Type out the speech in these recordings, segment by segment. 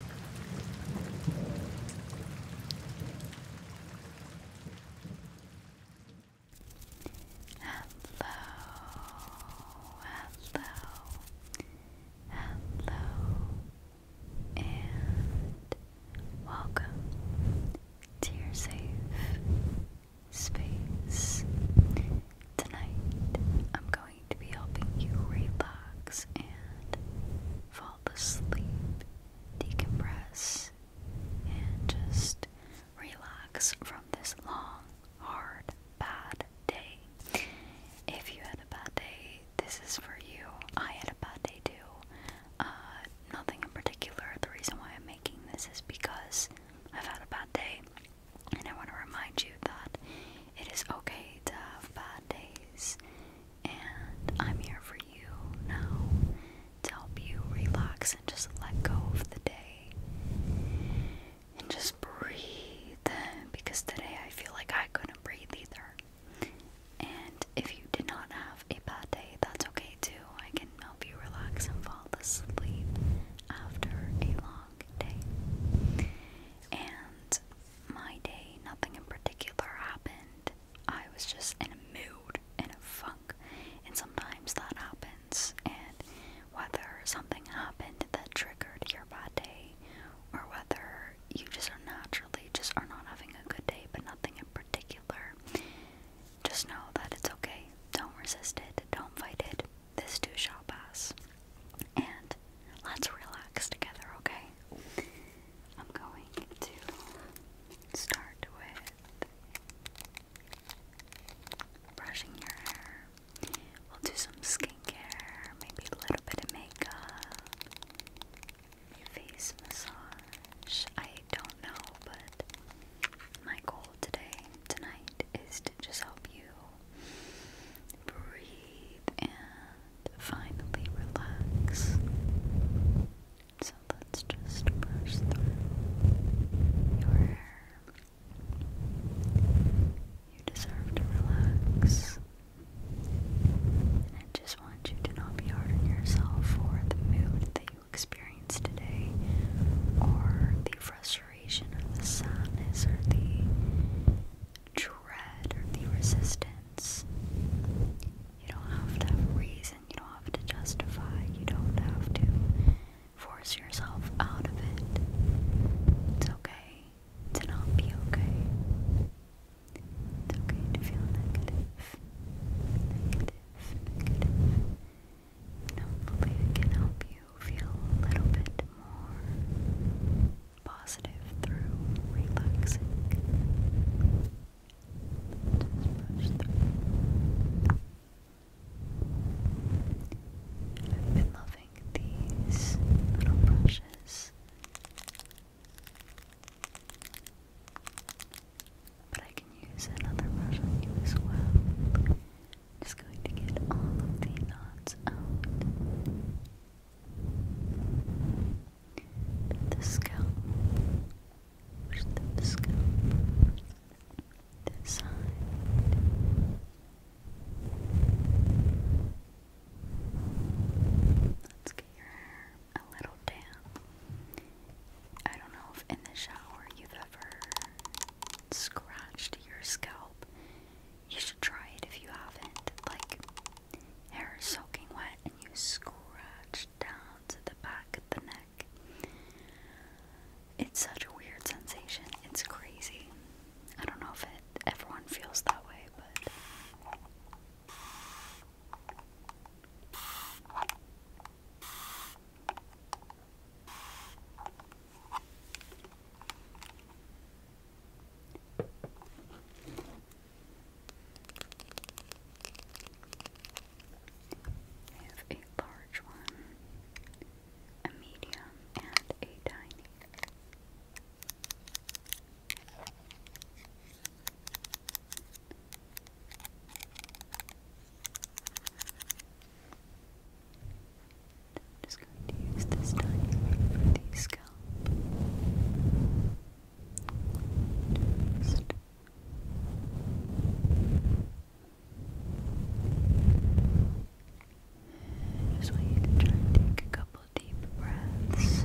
Hello, hello, hello, and welcome to your safe space. Tonight, I'm going to be helping you relax and fall asleep, decompress, and just relax from this long, hard, bad day. If you had a bad day, this is for you. I had a bad day too. Uh, nothing in particular. The reason why I'm making this is because I've had a bad day. And I want to remind you that it is okay to have bad days and I'm here for you now to help you relax and just let go of the day and just breathe because today I feel like I couldn't breathe either. And if you did not have a bad day, that's okay too. I can help you relax and fall asleep after a long day. And my day, nothing in particular happened. I was just in a mood, in a funk, and sometimes that happens. And whether something happened that triggered your bad day, or whether you just are naturally just are not having a good day, but nothing in particular, just know that it's okay. Don't resist it. Don't fight it. This too shall pass. And Let's relax together, okay? I'm going to start with brushing your hair. We'll do some skincare, maybe a little bit of makeup, face massage. I don't know, but my goal today, tonight, is to just help you breathe and to finally relax. So let's just brush through your hair. You deserve to relax. And I just want you to not be hard on yourself for the mood that you experienced today, or the frustration, or the sadness, or the dread or the resistance. You don't have to reason, you don't have to justify, you don't have to force yourself out of it. It's okay to not be okay. It's okay to feel negative. hopefully it can help you feel a little bit more positive through relaxing. Just brush through. I've been loving these little brushes, but I can use another brush on you as well. Just going to get all of the knots out the scalp, the scalp, this side. Let's get your hair a little damp. I don't know if in the shower you've ever scratched your scalp. You should try it if you haven't. Like, Hair is soaking wet, and you scratch down to the back of the neck. It's such a weird sensation. It's crazy. I don't know if it, everyone feels that way, but. I have a large one, a medium, and a tiny. I'm just going to use this tiny one for the scalp. Just want you to try and take a couple deep breaths.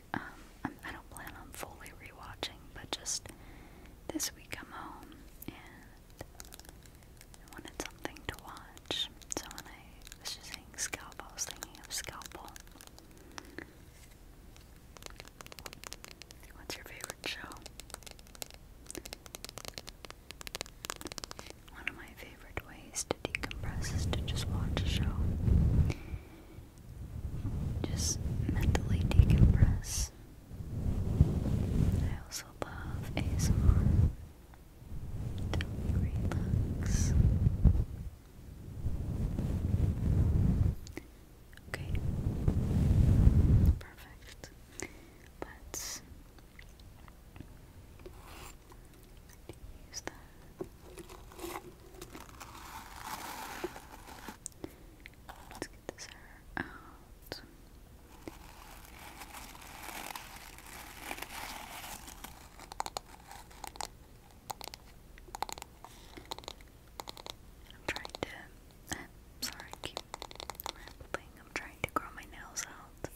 Um, I don't plan on fully rewatching, but just this week I'm home and I wanted something to watch. So when I was just saying scalp, I was thinking of Scalpel. What's your favorite show? One of my favorite ways Decompresses to decompress, is to just watch a show. Just mentally decompress. I also love ASMR. To relax. Okay. Perfect. But use that. Let's get this hair out. I'm trying to. sorry, I keep rambling. I'm trying to grow my nails out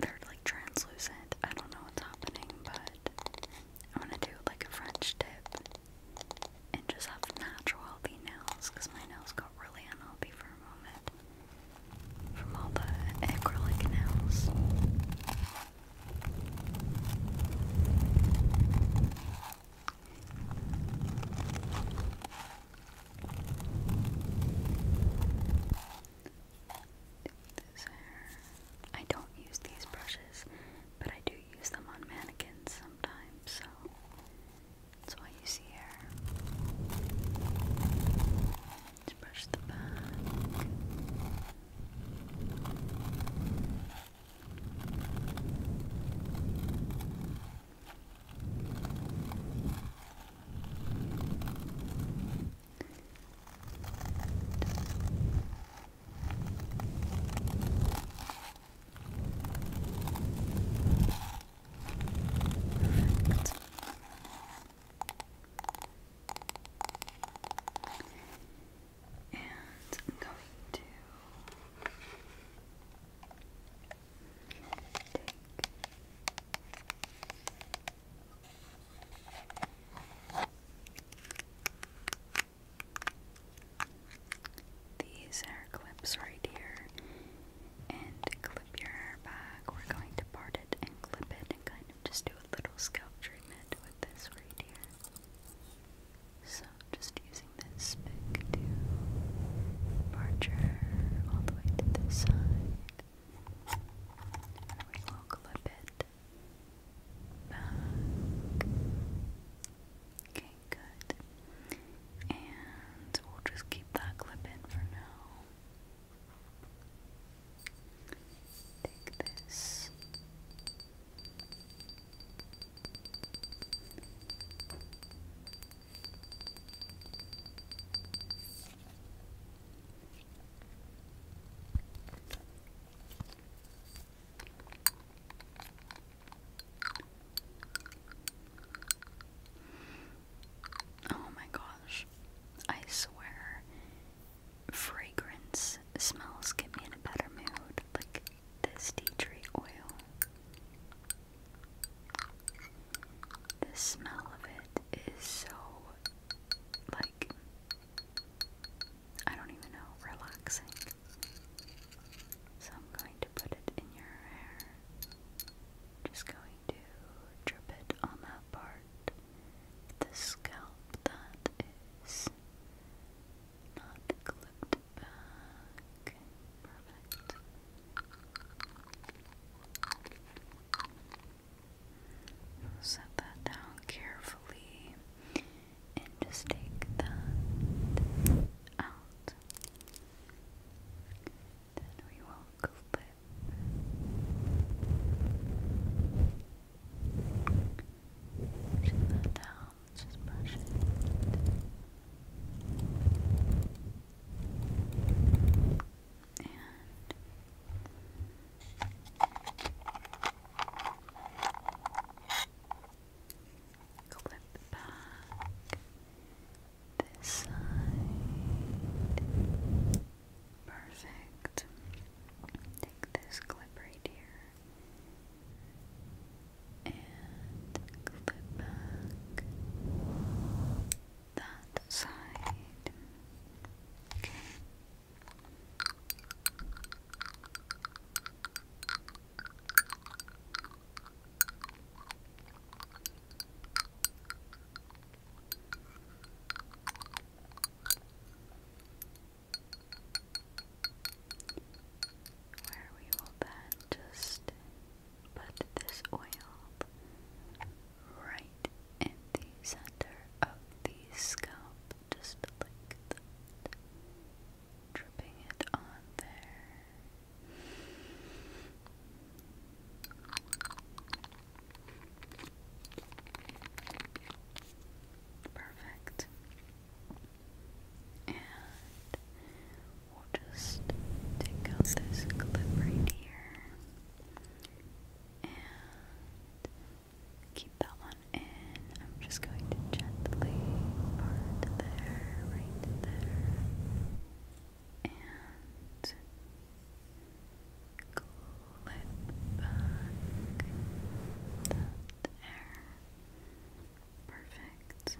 they're like translucent. I don't know what's happening, but I want to do like a French tip and just have natural healthy nails because my nails got really unhealthy for a moment from all the acrylic nails this hair. I don't use these brushes, but I do use them on mannequins sometimes, so that's why you see hair. let brush the back. Perfect. And I'm going to take these are clips right here. And clip your hair back. We're going to part it and clip it and kind of just do a little scalp treatment with this right here. So just using this spick to part your all the way to the side. we will clip it back. Okay, good. And we'll just keep that clip in for now. Take this. Oh my gosh. I swear fragrance smells get me in a better mood. Like this tea tree oil. The smell of it is so like I don't even know, relaxing. So I'm going to put it in your hair. Just going to drip it on that part, the scalp that is not clipped back. Perfect. Set that down carefully and just take that out. Then we will clip Pushing that down, just brush it. And Clip back this side. Perfect. Take this clip right here and clip back that side. Okay. Where we will then just put this oil right in the center of the scalp just like Dripping it on there. Perfect. And we'll just take out this clip right here. And keep that one in. I'm just going to gently part there, right there, and clip back that there. Perfect.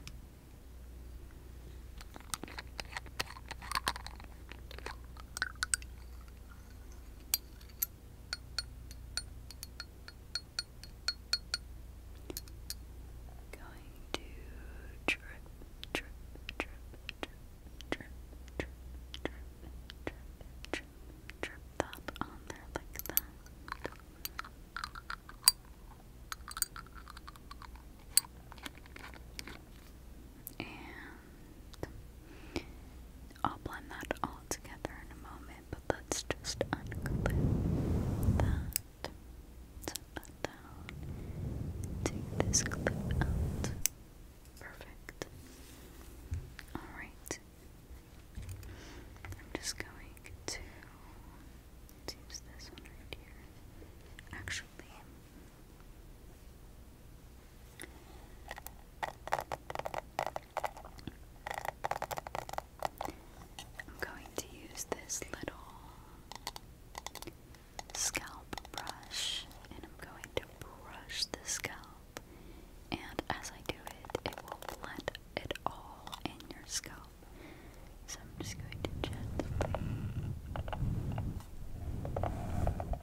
Going to drip, drip, drip, drip, drip, drip, drip, drip, drip, drip that on there like that. And I'll blend that all together in a moment, but let's just unclip that. Set that down. Take this clip out. Perfect. Alright. I'm just going to use this one right here. Actually, I'm going to use this little scalp brush and I'm going to brush the scalp and as I do it it will blend it all in your scalp. So I'm just going to gently the scalp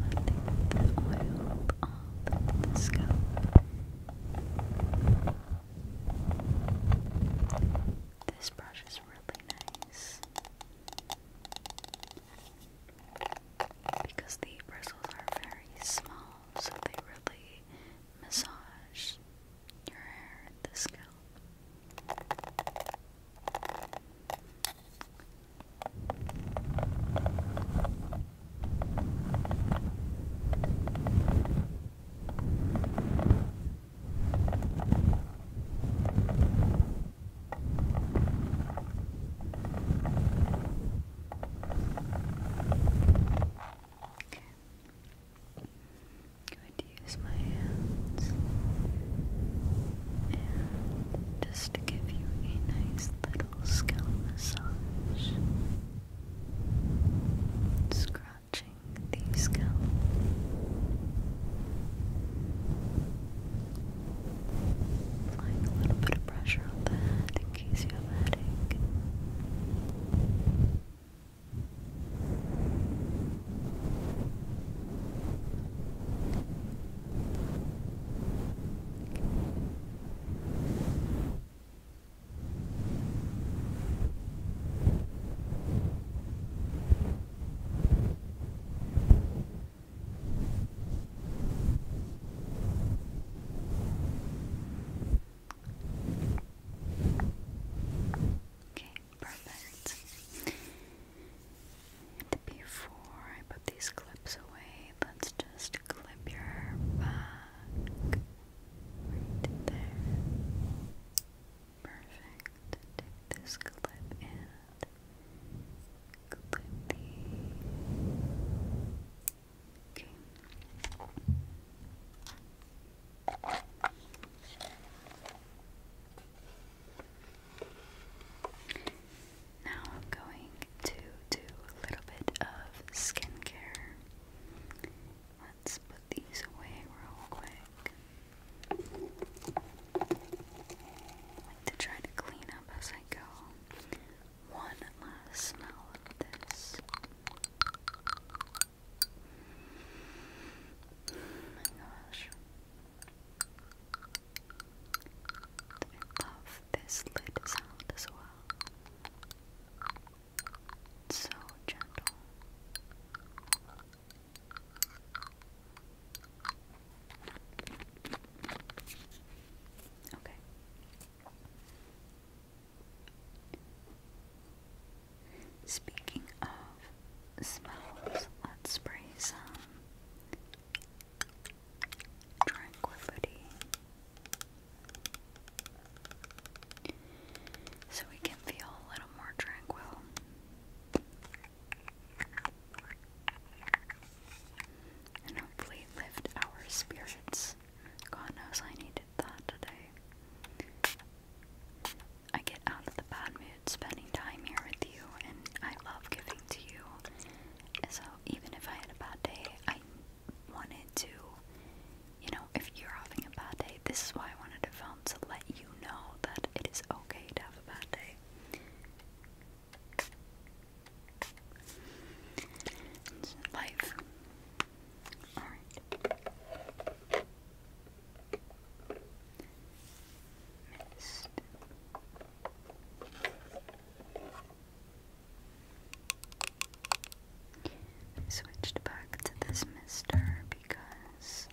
like that letting the oil off the scalp this brush is really nice because the bristles are very small, so they really massage your hair and the scalp i going to use my hands and just give you a nice little scalp massage. Scratching the scalp. Applying a little bit of pressure on the in case you have a headache. Okay, perfect. before I put these clips away, let's just clip your back right there. Perfect. Take this clip in. Okay. Now I'm going to do a little bit of skincare. Let's put these away real quick to try to clean up as I go. One last smell of this. Oh my gosh. love this lid sound as well. so gentle. Okay. Speaking of smells, let's spray some tranquility. So we can feel a little more tranquil and hopefully lift our spirits. God knows I needed that today. I get out of the bad mood spending time here with you, and I love giving to you. So even if I had a bad day, I wanted to, you know, if you're having a bad day, this is why I wanted to film to let you know that it is okay to have a bad day. It's life. Alright. Missed. switched back to this mister because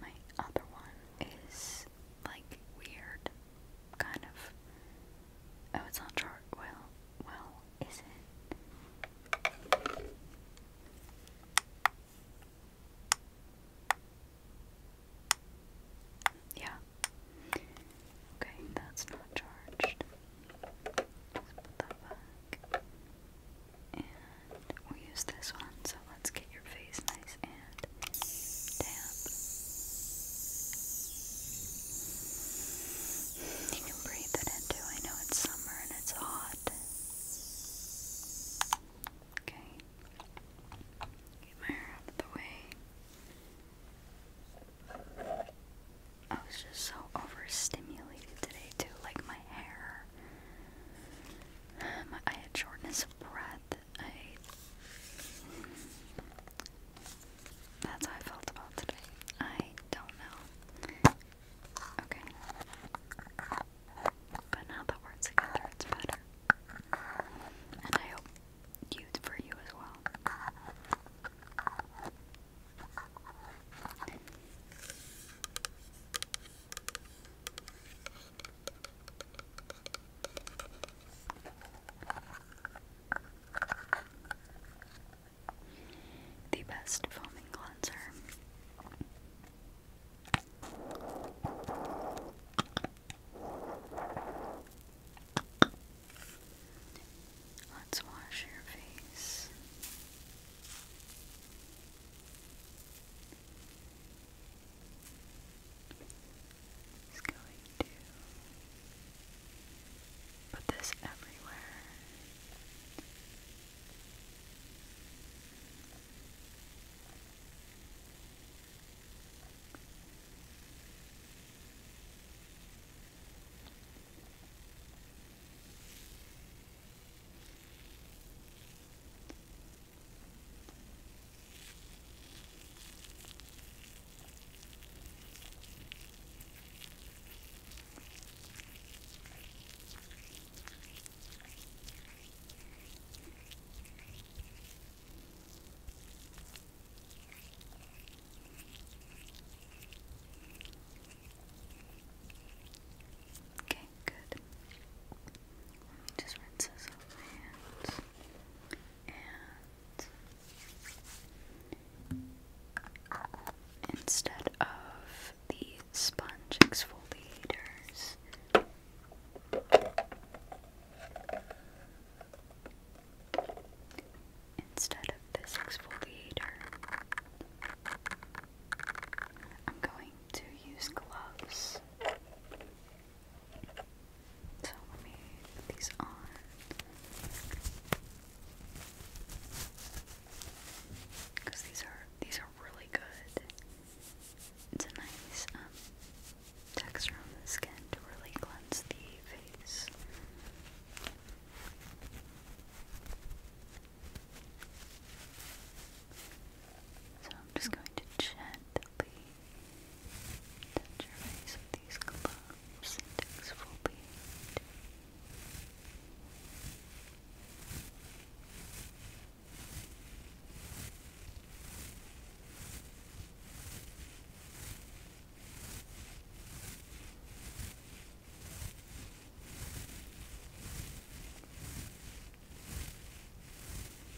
my other one is like weird kind of oh it's not chart well well is it yeah okay that's not charged let's put and we'll use this one, let's get your face nice and damp. You can breathe it in I know it's summer and it's hot. Okay. Get my hair out the way. I was just so overstimulated today too, like my hair. Um, I had shortness of breath, I that's how I felt about today. I don't know. Okay. But now that we're together, it's better. And I hope you for you as well. The best foaming cleanser. Let's wash your face is going to put this everywhere. Okay, good. Let me just rinse this off my hands instead of the sponge exfoliators, instead of this exfoliator, I'm going to use gloves. So let me put these on. Cause these are these are really good. It's a nice um, texture on the skin to really cleanse the face. So I'm just going to gently Touch your these gloves, index forebeard. Now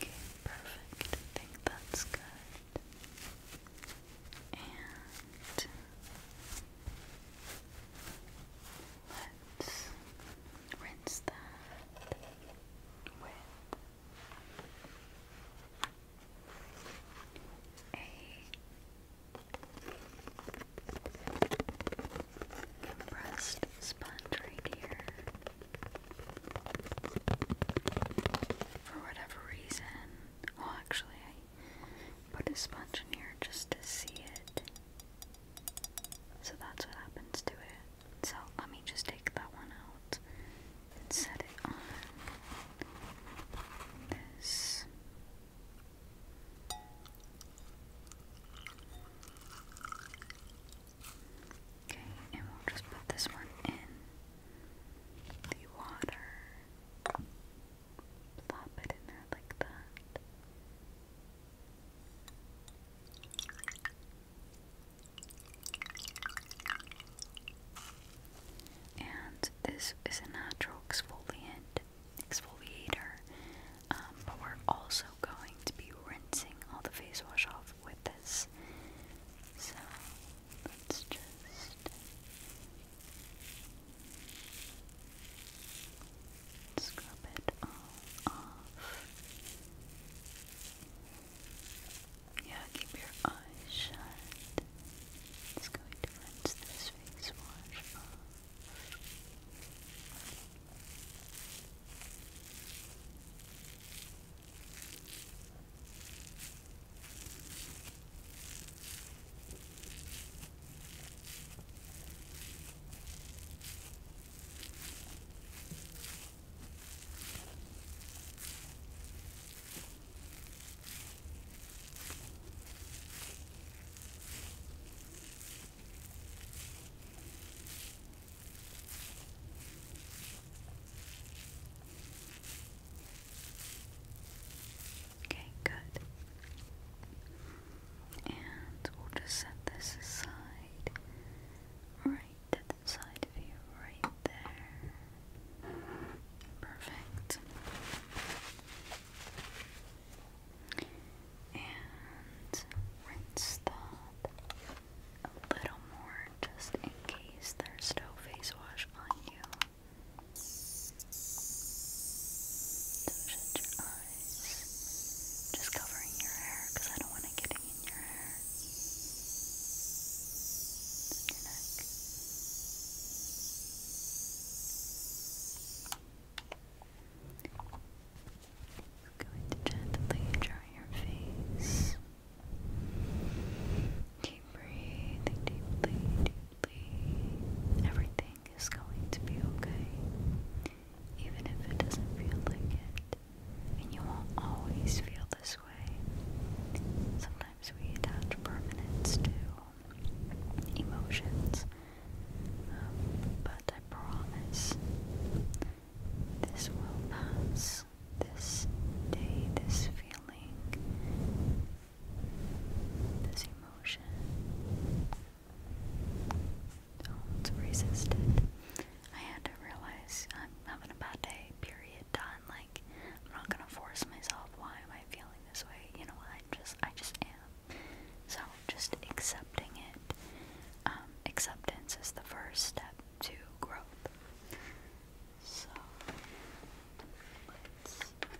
Okay, perfect. I think that's good. And let's rinse that with a sponge right here. For whatever reason, well, actually, I put a sponge in here just to see it. So that's what happens to it. So let me just take that one out and set it on this. Okay, and we'll just put this one in the water. Plop it in there like that. And this is a natural exfoliant exfoliator, um, but we're also going to be rinsing all the face wash off with this. So let's just. Scrub it off. Yeah, keep your eyes shut. It's going to rinse this face wash off. Okay, good. And we'll just set this aside right to the side of you, right there. Perfect. And rinse that a little more just in case there's no face wash on you. So shut your eyes. Just covering your hair because I don't want it getting in your hair your I'm going to gently dry your face. Keep breathing deeply, deeply. Everything is going to be okay, even if it doesn't feel like it. And you won't always feel this way. Sometimes we attach permanence to emotions, um, but I promise this will pass. This day, this feeling, this emotion. Don't resist it. I had to realize I'm having a bad day, period, done. I'm like, I'm not gonna force myself. Why am I feeling this way? You know, I just, I just am. So just accepting it. Um, acceptance is the first step to growth. So let's put.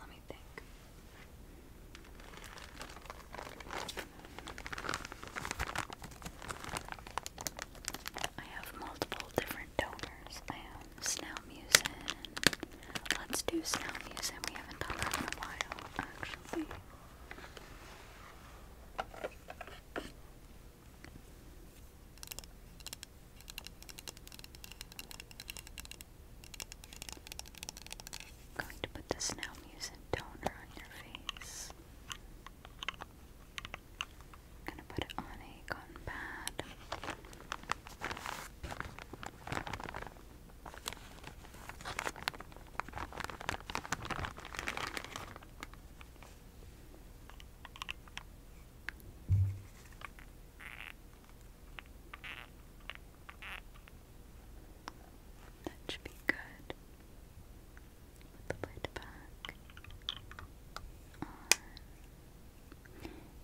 Let me think. I have multiple different donors. I have Snowmusin. Let's do Snowmusin. We haven't done that in a while, actually. going to put the Snowmusin toner on your face this. I'm gonna put it on a cotton pad. That should be good. Put the lid back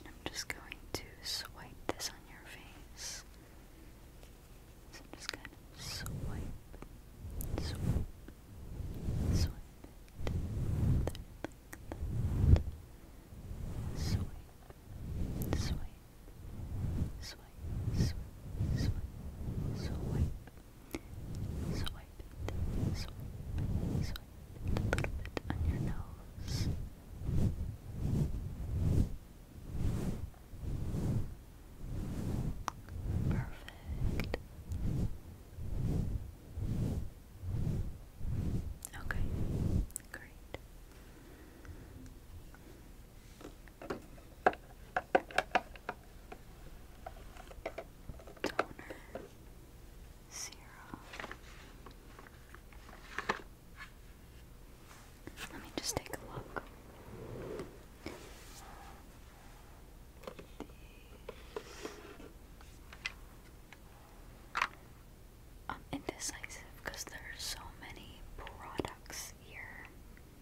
I'm just going to swipe this on your face. I'm just going to swipe, swipe, swipe it. Swipe, swipe, swipe swipe, swipe, swipe, swipe, swipe swipe, a little bit on your nose. Perfect. Okay, great toner, serum. Let me just take a look. These. I'm indecisive because there are so many products here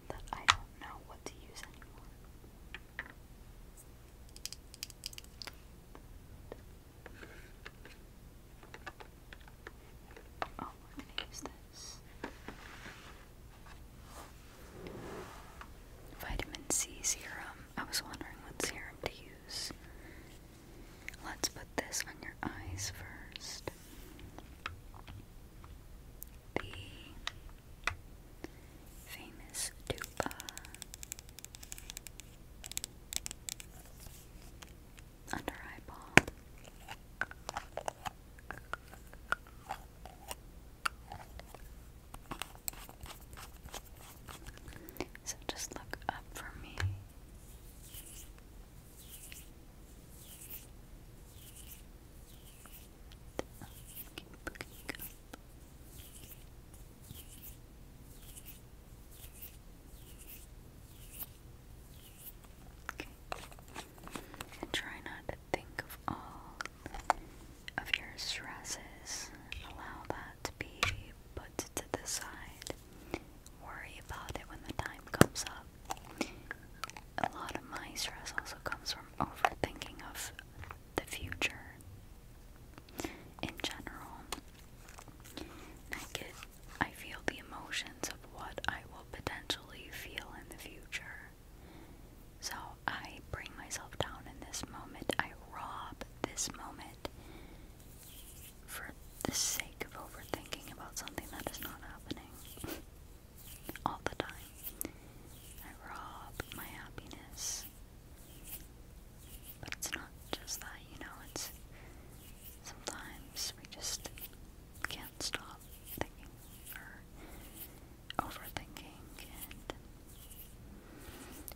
that I don't know what to use anymore. Oh, we're gonna use this. Vitamin C serum. I was wondering what serum to use. Let's put this on your eyes first the famous dupa Under eyeball. So just look up for me. Keep looking And try not to think of all of your stresses. Allow that to be put to the side. Worry about it when the time comes up. A lot of my stress also comes from overthinking of the future in general. I get, I feel the emotions of what I will potentially feel in the future. So I bring myself down in this moment. I rob this moment for the sake of overthinking about something that is not happening. all the time. I rob my happiness. But it's not just that, you know, it's sometimes we just can't stop thinking or overthinking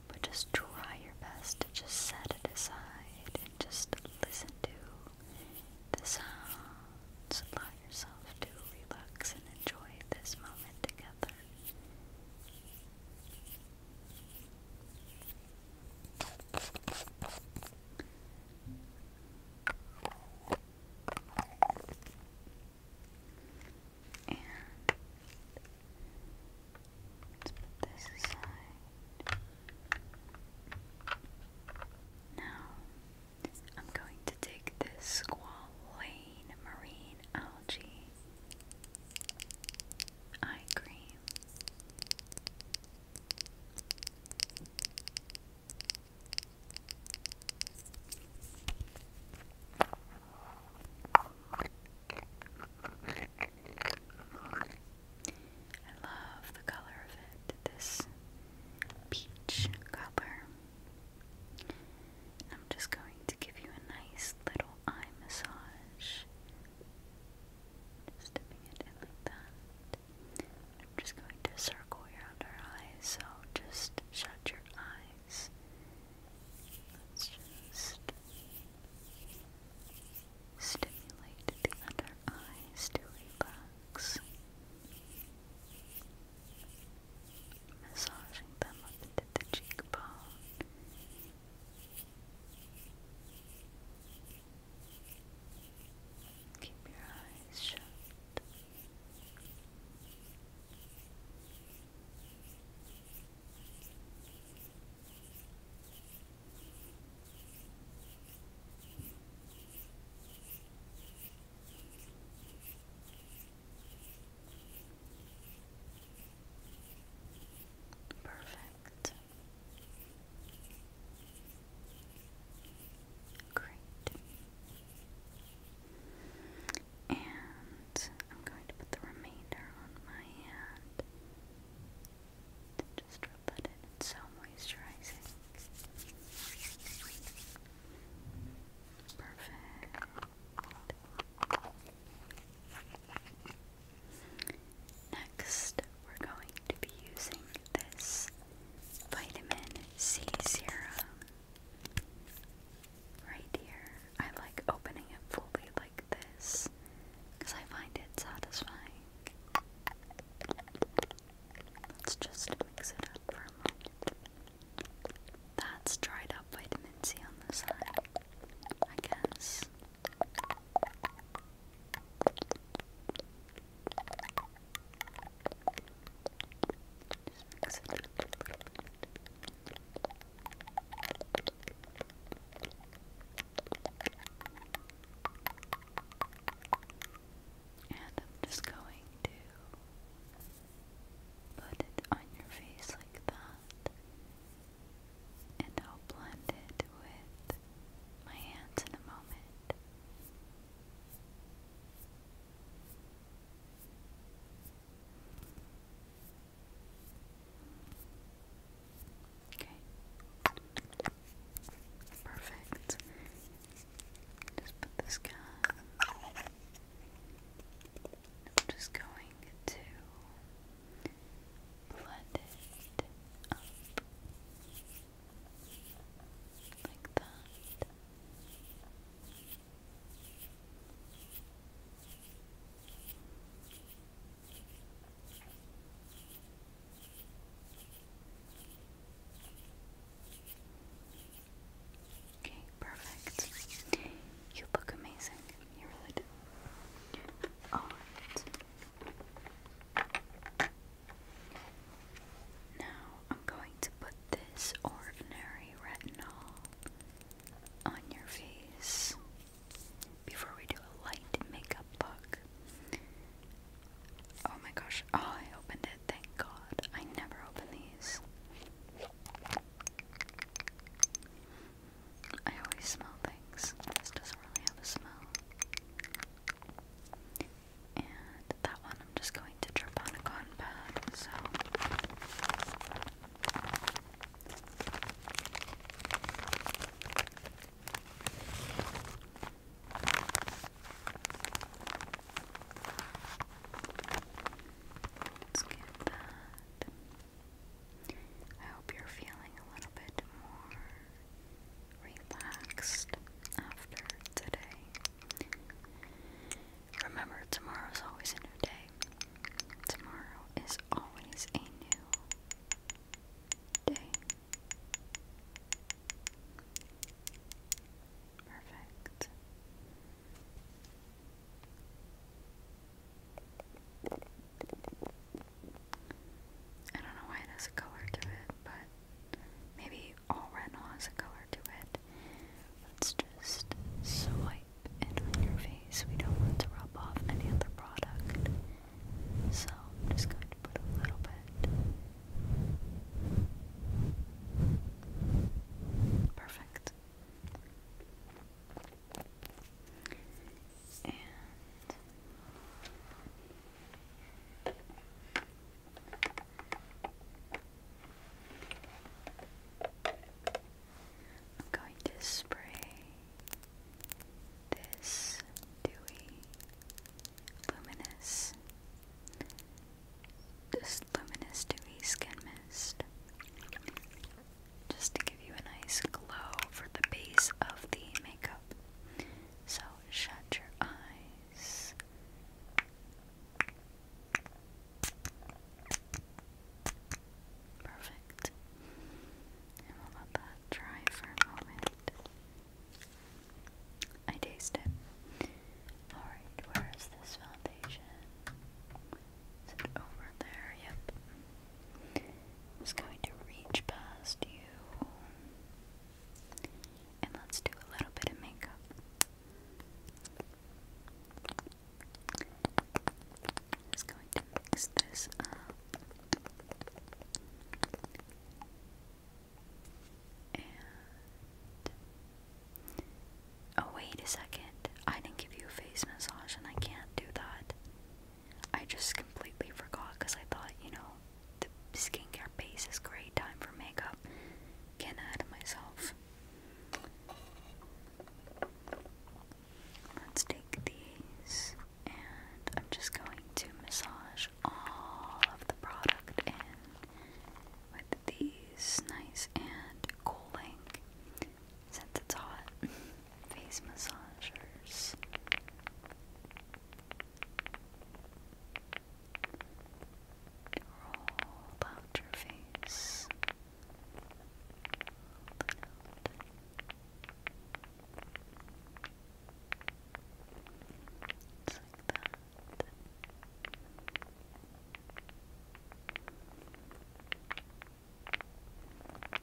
but just try your best to just set it aside and just listen to the sounds, allow yourself to relax and enjoy this moment together. let's put this aside. Now, I'm going to take this squalane marine algae eye cream. I love the color of it, this peach color. I'm just going to give you a nice little eye massage. Just dipping it in like that. I'm just going to circle around our eyes, so just shut your eyes. Let's just stimulate the under eyes to relax massaging them up into the cheekbone. Keep your eyes shut. Perfect. Great. And I'm going to put the remainder on my hand. Just rub that in. It's so moisturizing. Perfect. Next, we're going to be using this vitamin C serum right here. I like opening it fully like this because I find it satisfying. Let's just mix it up for a moment. That's dried up vitamin C on the side, I guess. And I'm just going to Put it on your face like that. And I'll blend it with my hands in a moment. Okay. Perfect. Just put this gun. I'm just going to blend it up like that. Okay, perfect. You look amazing. You really do. Alright. Now I'm going to put this ordinary retinol on your face before we do a light makeup look. Oh my gosh. Oh, I opened it it, thank God. I never open these. I always smell things. This doesn't really have a smell. And that one I'm just going to drip on a cotton pad, so. I hope you're feeling a little bit more relaxed after today. Remember, tomorrow is always a new day. Tomorrow is always a new day. Perfect. I don't know why it has a color to it, but maybe all retinol has a color to it. Let's just swipe it on your face. We don't want to rub off any other product. So just going to put a little bit. Perfect. I'm going to spray this dewy luminous this luminous dewy skin mist just to give you a nice glow for the base of the makeup. So shut your eyes. Perfect. And let that dry for a moment. I taste it. Alright, where is this foundation? Is it over there? Yep. I'm just going to reach past you. And let's do a little bit of makeup. just going to mix this up. Oh, wait a second. I didn't give you a face massage, and I can't do that. I just completely forgot because I thought, you know, the skincare base is great, time for makeup. Getting ahead of myself. Let's take these, and I'm just going to massage all of the product in with these nice and cooling since it's hot face massagers. Roll out your face.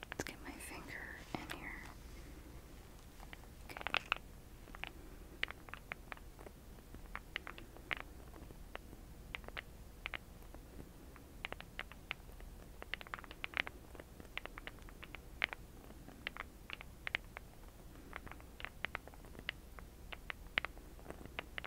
Let's get my finger in here. Okay.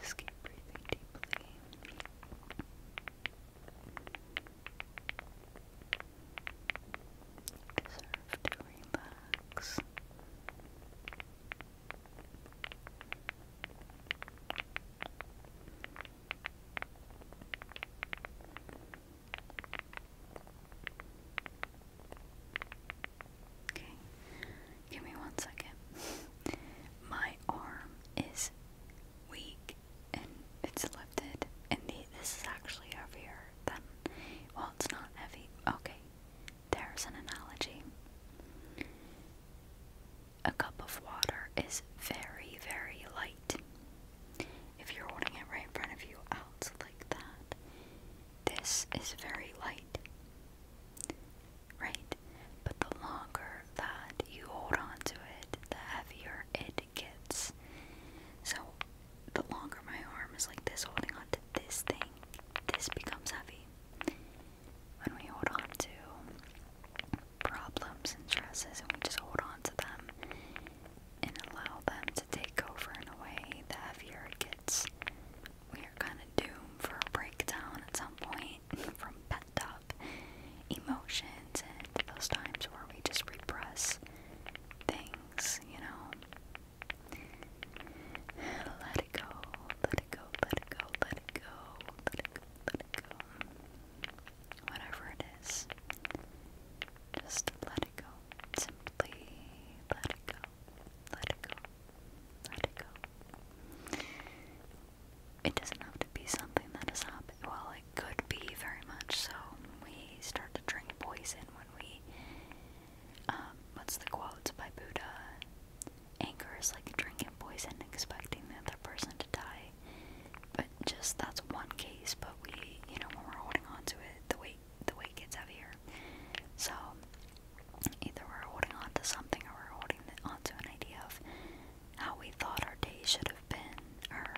Just keep breathing deeply. Deserve to relax. Okay, give me one second. My arm is weak and it's lifted, and the, this is actually over here. Then, Well, it's not heavy. Okay, there's an analogy. A cup of water is very, very light. If you're holding it right in front of you, out like that. This is very light. Right? But the longer that you hold on to it, the heavier it gets. So, the longer my arm is like this, holding on to this thing, this becomes heavy. When we hold on to problems and stresses and we just hold on to them and allow them to take over in a way, the heavier it gets we are kind of doomed for a breakdown at some point from pent up emotions and those times where we just repress things, you know. Let it go, let it go, let it go, let it go, let it let it go. Whatever it is, just let it go. Simply let it go, let it go, let it go. It doesn't have to be something that is has Well, it could be very much so. We start to drink poison when we. Um, what's the quote by Buddha? Anger is like drinking poison, expecting the other person to die. But just that's one case. But we, you know, when we're holding on to it, the weight the weight gets heavier. So Either we're holding on to something or we're holding on to an idea of how we thought our day should have been, or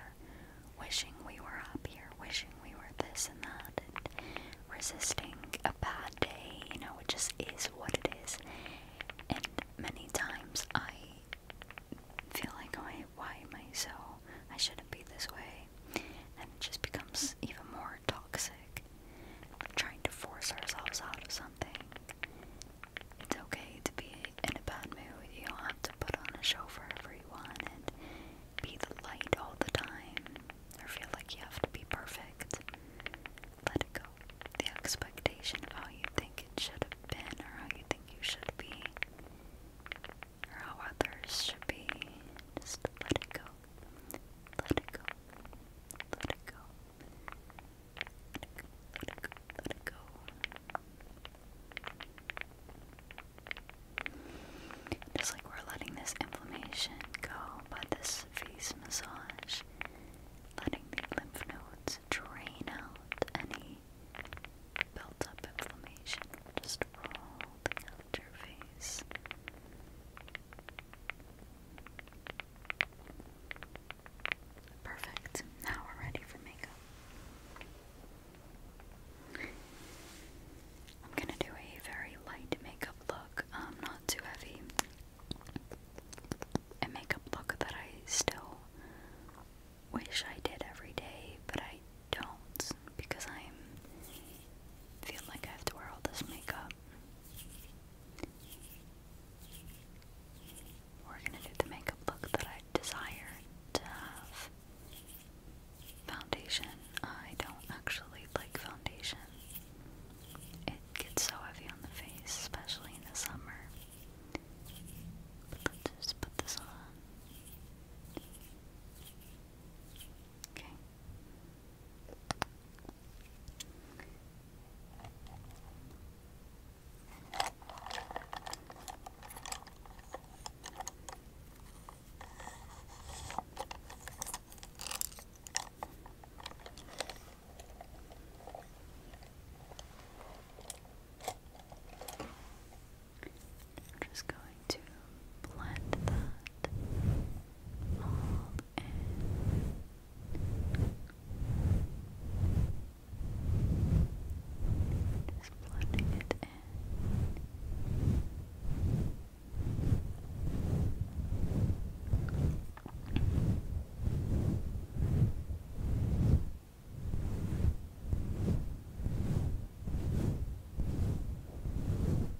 wishing we were up here, wishing we were this and that, and resisting a bad day, you know, it just is what it is. And many times I feel like, I. why am I so? I shouldn't be this way. And it just becomes even more toxic trying to force ourselves out of something. It's okay to be in a bad mood. You don't have to put on a show for everyone and be the light all the time or feel like you have to be perfect. Let it go. The expectation of how you think it should have been or how you think you should be or how others should be. Just let it go. Let it go. Let it go. Let it go. Let it go. Just like we're letting this inflammation go by this face massage, letting the lymph nodes drain out any built up inflammation, just rolling out your face. Perfect. Now we're ready for makeup. I'm gonna do a very light makeup look, um, not too heavy. A makeup look that I still wish I did every day, but I don't because I'm feel like I have to wear all this makeup. We're gonna do the makeup look that I desire Foundation. I don't actually like foundation. It gets so heavy on the face, especially in the summer. But let's just put this on. Okay. I'm just going to blend that Hold in. Just blending it in.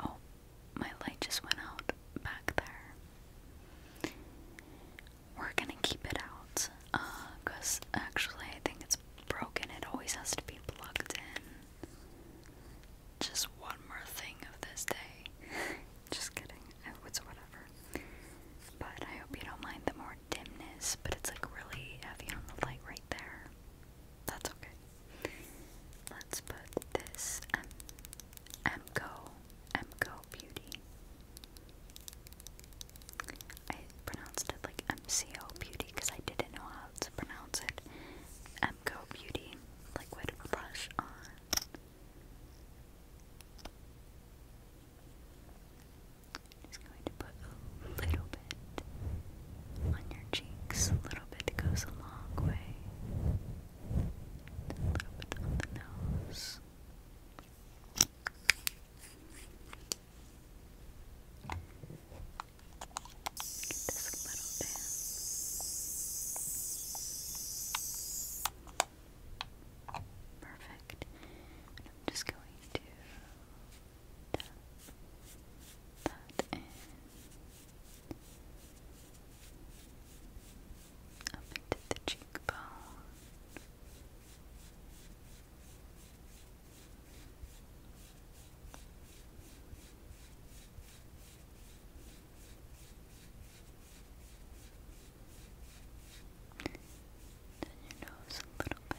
Oh, my light just went out back there. We're gonna keep it out, uh, cause actually I think it's broken. It always has to be plugged in. Just one more thing of this day. just kidding. It's whatever. But I hope you don't mind the more dimness, but it's like really heavy on the light right there. That's okay. Let's put this M MCO MCO Beauty. I pronounced it like MCO Beauty because I didn't know how to pronounce it. MCO Beauty liquid blush on. Just going to put a little bit on your cheeks. A little bit goes a long way. A little bit on the nose. Just a little bit. Perfect. I'm just going to that in up into the cheekbone. Then your nose a little bit.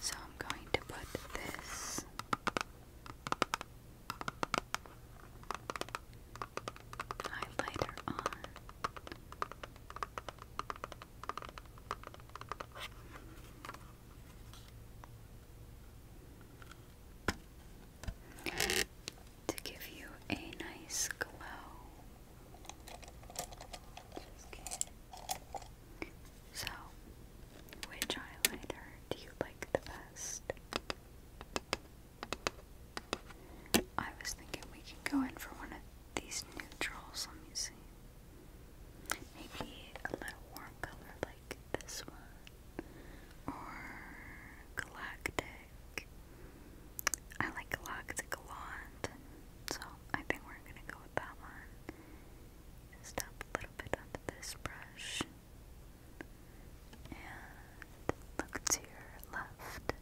so I'm going to put this highlighter on to give you a nice glow. So, which highlighter do you like the best? I was thinking we can go in for one of these neutrals. Let me see. Maybe a little warm color like this one. Or Galactic. I like Galactic a lot. So I think we're gonna go with that one. Just tap a little bit onto this brush. And look to your left.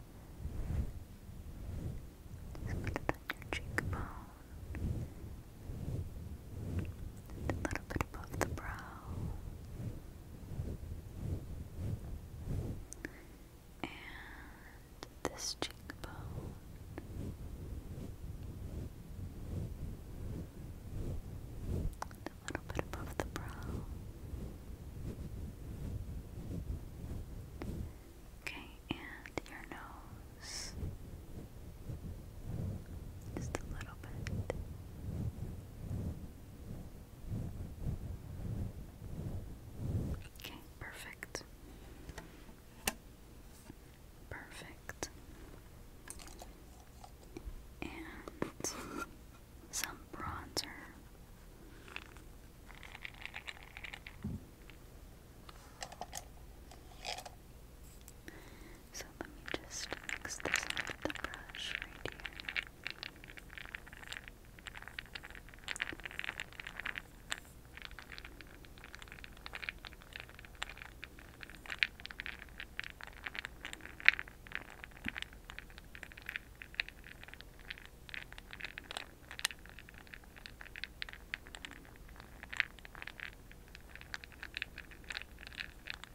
Just put it on your cheekbone a little bit above the brow. And this cheekbone. a little bit above the brow. Okay, and your nose. Just a little bit. Okay, perfect. Perfect. And some bronzer. So let me just mix the brush right here.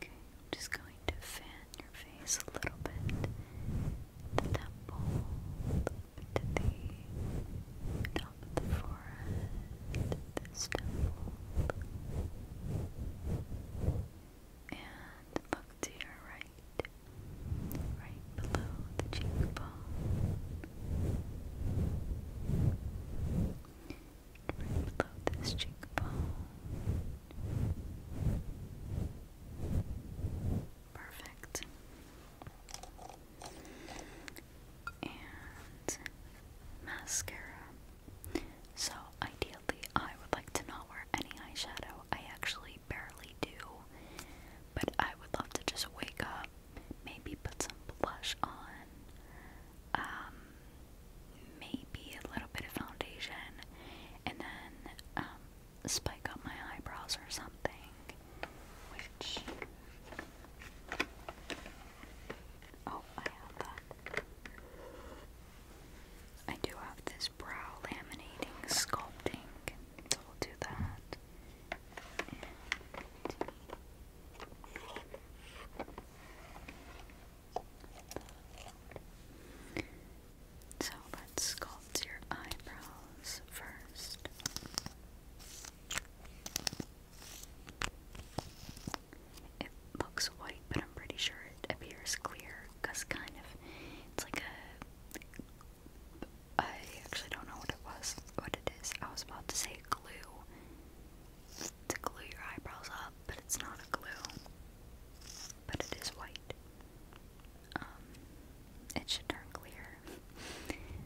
Okay, just going to fan your face a little bit. The temple, the top of the forehead, this temple, and look to your right, right below the cheekbone, below this cheekbone. Perfect. And mascara. So ideally, I would like to not wear any eyeshadow. I actually barely do, but I would love to just wake up Maybe put some blush on. Um, maybe a little bit of foundation, and then um, spike up my eyebrows or something. Which oh, I have that. I do have this brow laminating sculpting, so we do that. So let's sculpt your eyebrows first. It looks white, but I'm pretty sure it appears clear because kind of it's like a I actually don't know what it was, what it is. I was about to say glue to glue your eyebrows up, but it's not a glue. But it is white. Um, it should turn clear.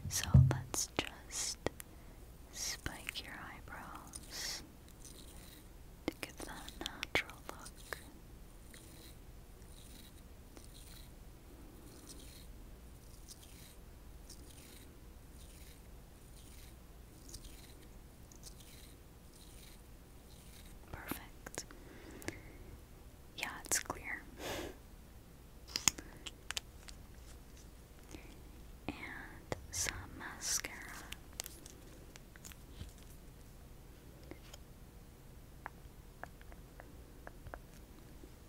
So let's just spike your eyebrows to give that natural look. Perfect. Yeah, it's clear. and some mascara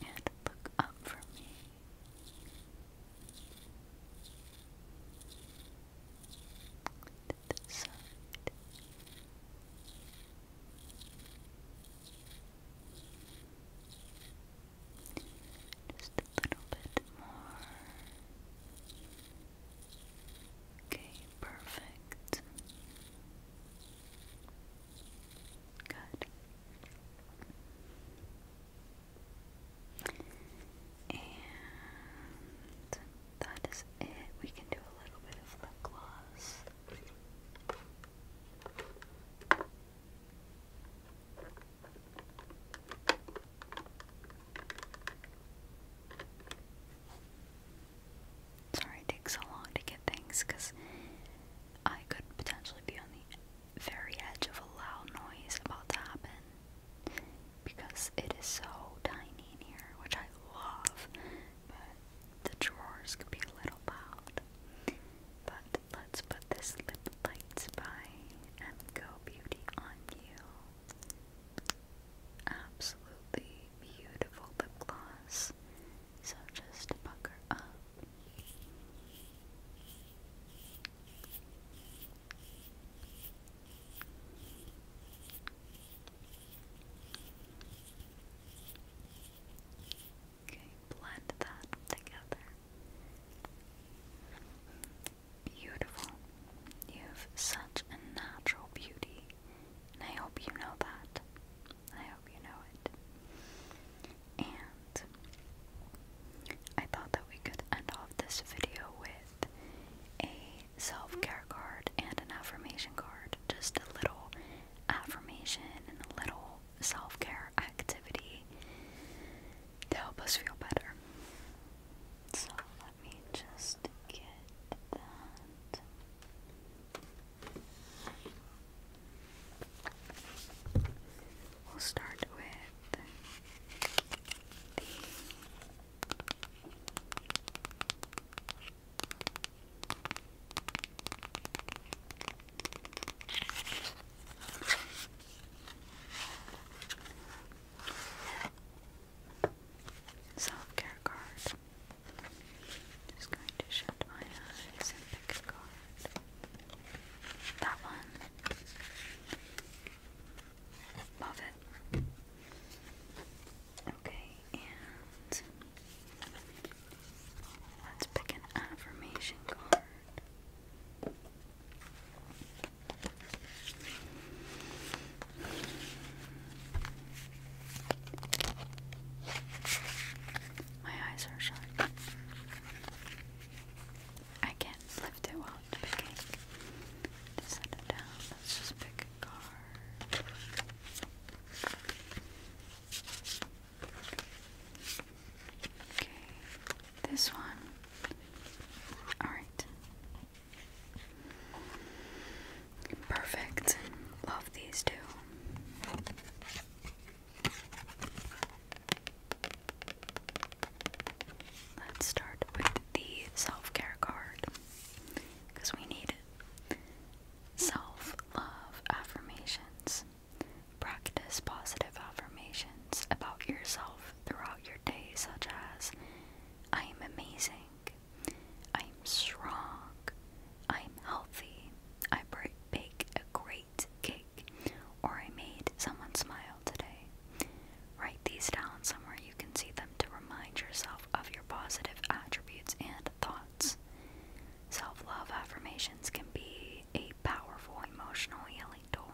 and look up for me. Just a little bit more. Okay, perfect. Good. And that is it. We can do a little bit of lip gloss. Sorry it takes so long to get things because I could potentially be on the very edge of a loud noise about to happen because it is so tiny in here, which I love, but the drawers could be a little loud. But let's put this lip lights by MGO Beauty on you. Absolutely beautiful lip gloss. So just pucker up Okay, blend that together. Beautiful. You have such a natural beauty, and I hope you know that. I hope you know it. And I thought that we could end off this video with a self care card and an affirmation card. Just a little affirmation and a little self care activity to help us feel better. So let me just get that. We'll start with the Self care card. I'm just going to shut my eyes and pick a card. That one. Love it. Okay, and let's pick an affirmation card. My eyes are shut. I can't lift it while picking. set it down. Let's just pick a card. Okay, this one. Alright. Perfect. Love these two. Let's start with the self care card because we need Self love affirmations. Practice positive affirmations about yourself throughout your day, such as I am amazing, I am strong, I am healthy, I bake a great cake, or I made someone smile today. Write these down somewhere you can see them to remind yourself of your positive attributes and thoughts. Self love affirmations can be a powerful emotional healing tool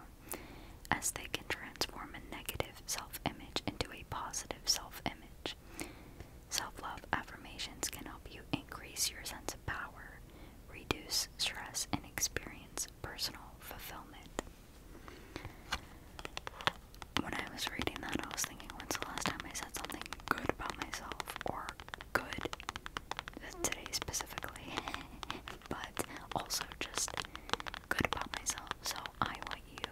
as they can transform a negative self image into a positive self image. Self love affirmations can help you increase your sense of power, reduce stress, and experience personal fulfillment. When I was reading that, I was thinking, when's the last time I said something good about myself? Or good today specifically, but also just good about myself. So I want you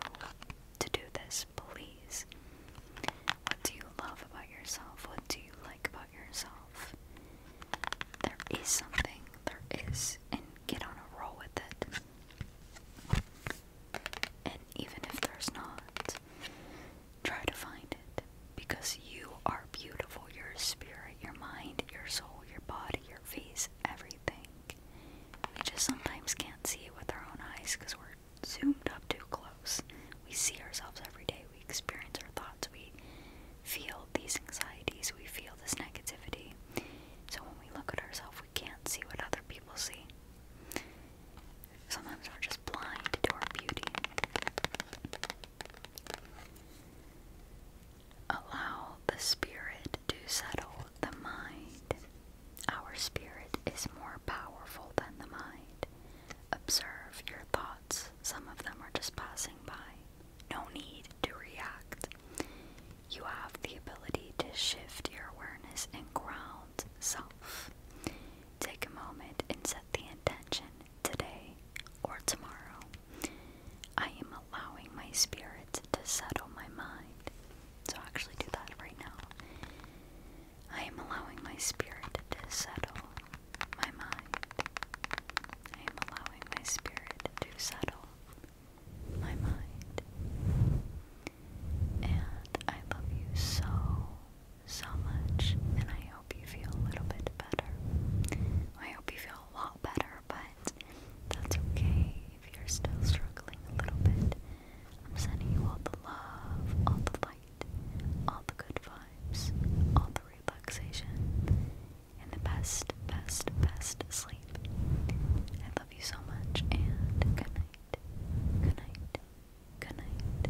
to do this, please. What do you love about yourself? What do you like about yourself? There is something, there is, and get on a roll with it. And even if there's not, try to find it because you are beautiful. Your spirit, your mind, your soul, your body, your face, everything. We just sometimes can't see it with our own eyes because we're zoomed up too close. We see ourselves every day. We experience our thoughts. We feel these anxieties. We feel this negativity. So when we look at ourselves, we can't see what other people see. Sometimes we're just blind to our beauty. Allow the spirit to settle the mind. Our spirit is more powerful than the mind. Observe your thoughts. Some of them are just passing by. No need to react. You have the ability to shift your awareness and ground self. Take a moment and set the intention today or tomorrow. I am allowing my spirit to settle my mind. So, actually, do that right now. I am allowing my spirit to settle my mind. I am allowing my spirit to settle my mind. And I love you so, so much. And I hope you feel a little bit better. I hope you feel a lot better, but that's okay if you're still struggling a little bit. I'm sending you all the love, all the light all the good vibes, all the relaxation, and the best, best, best sleep. I love you so much, and good night, good night, good night.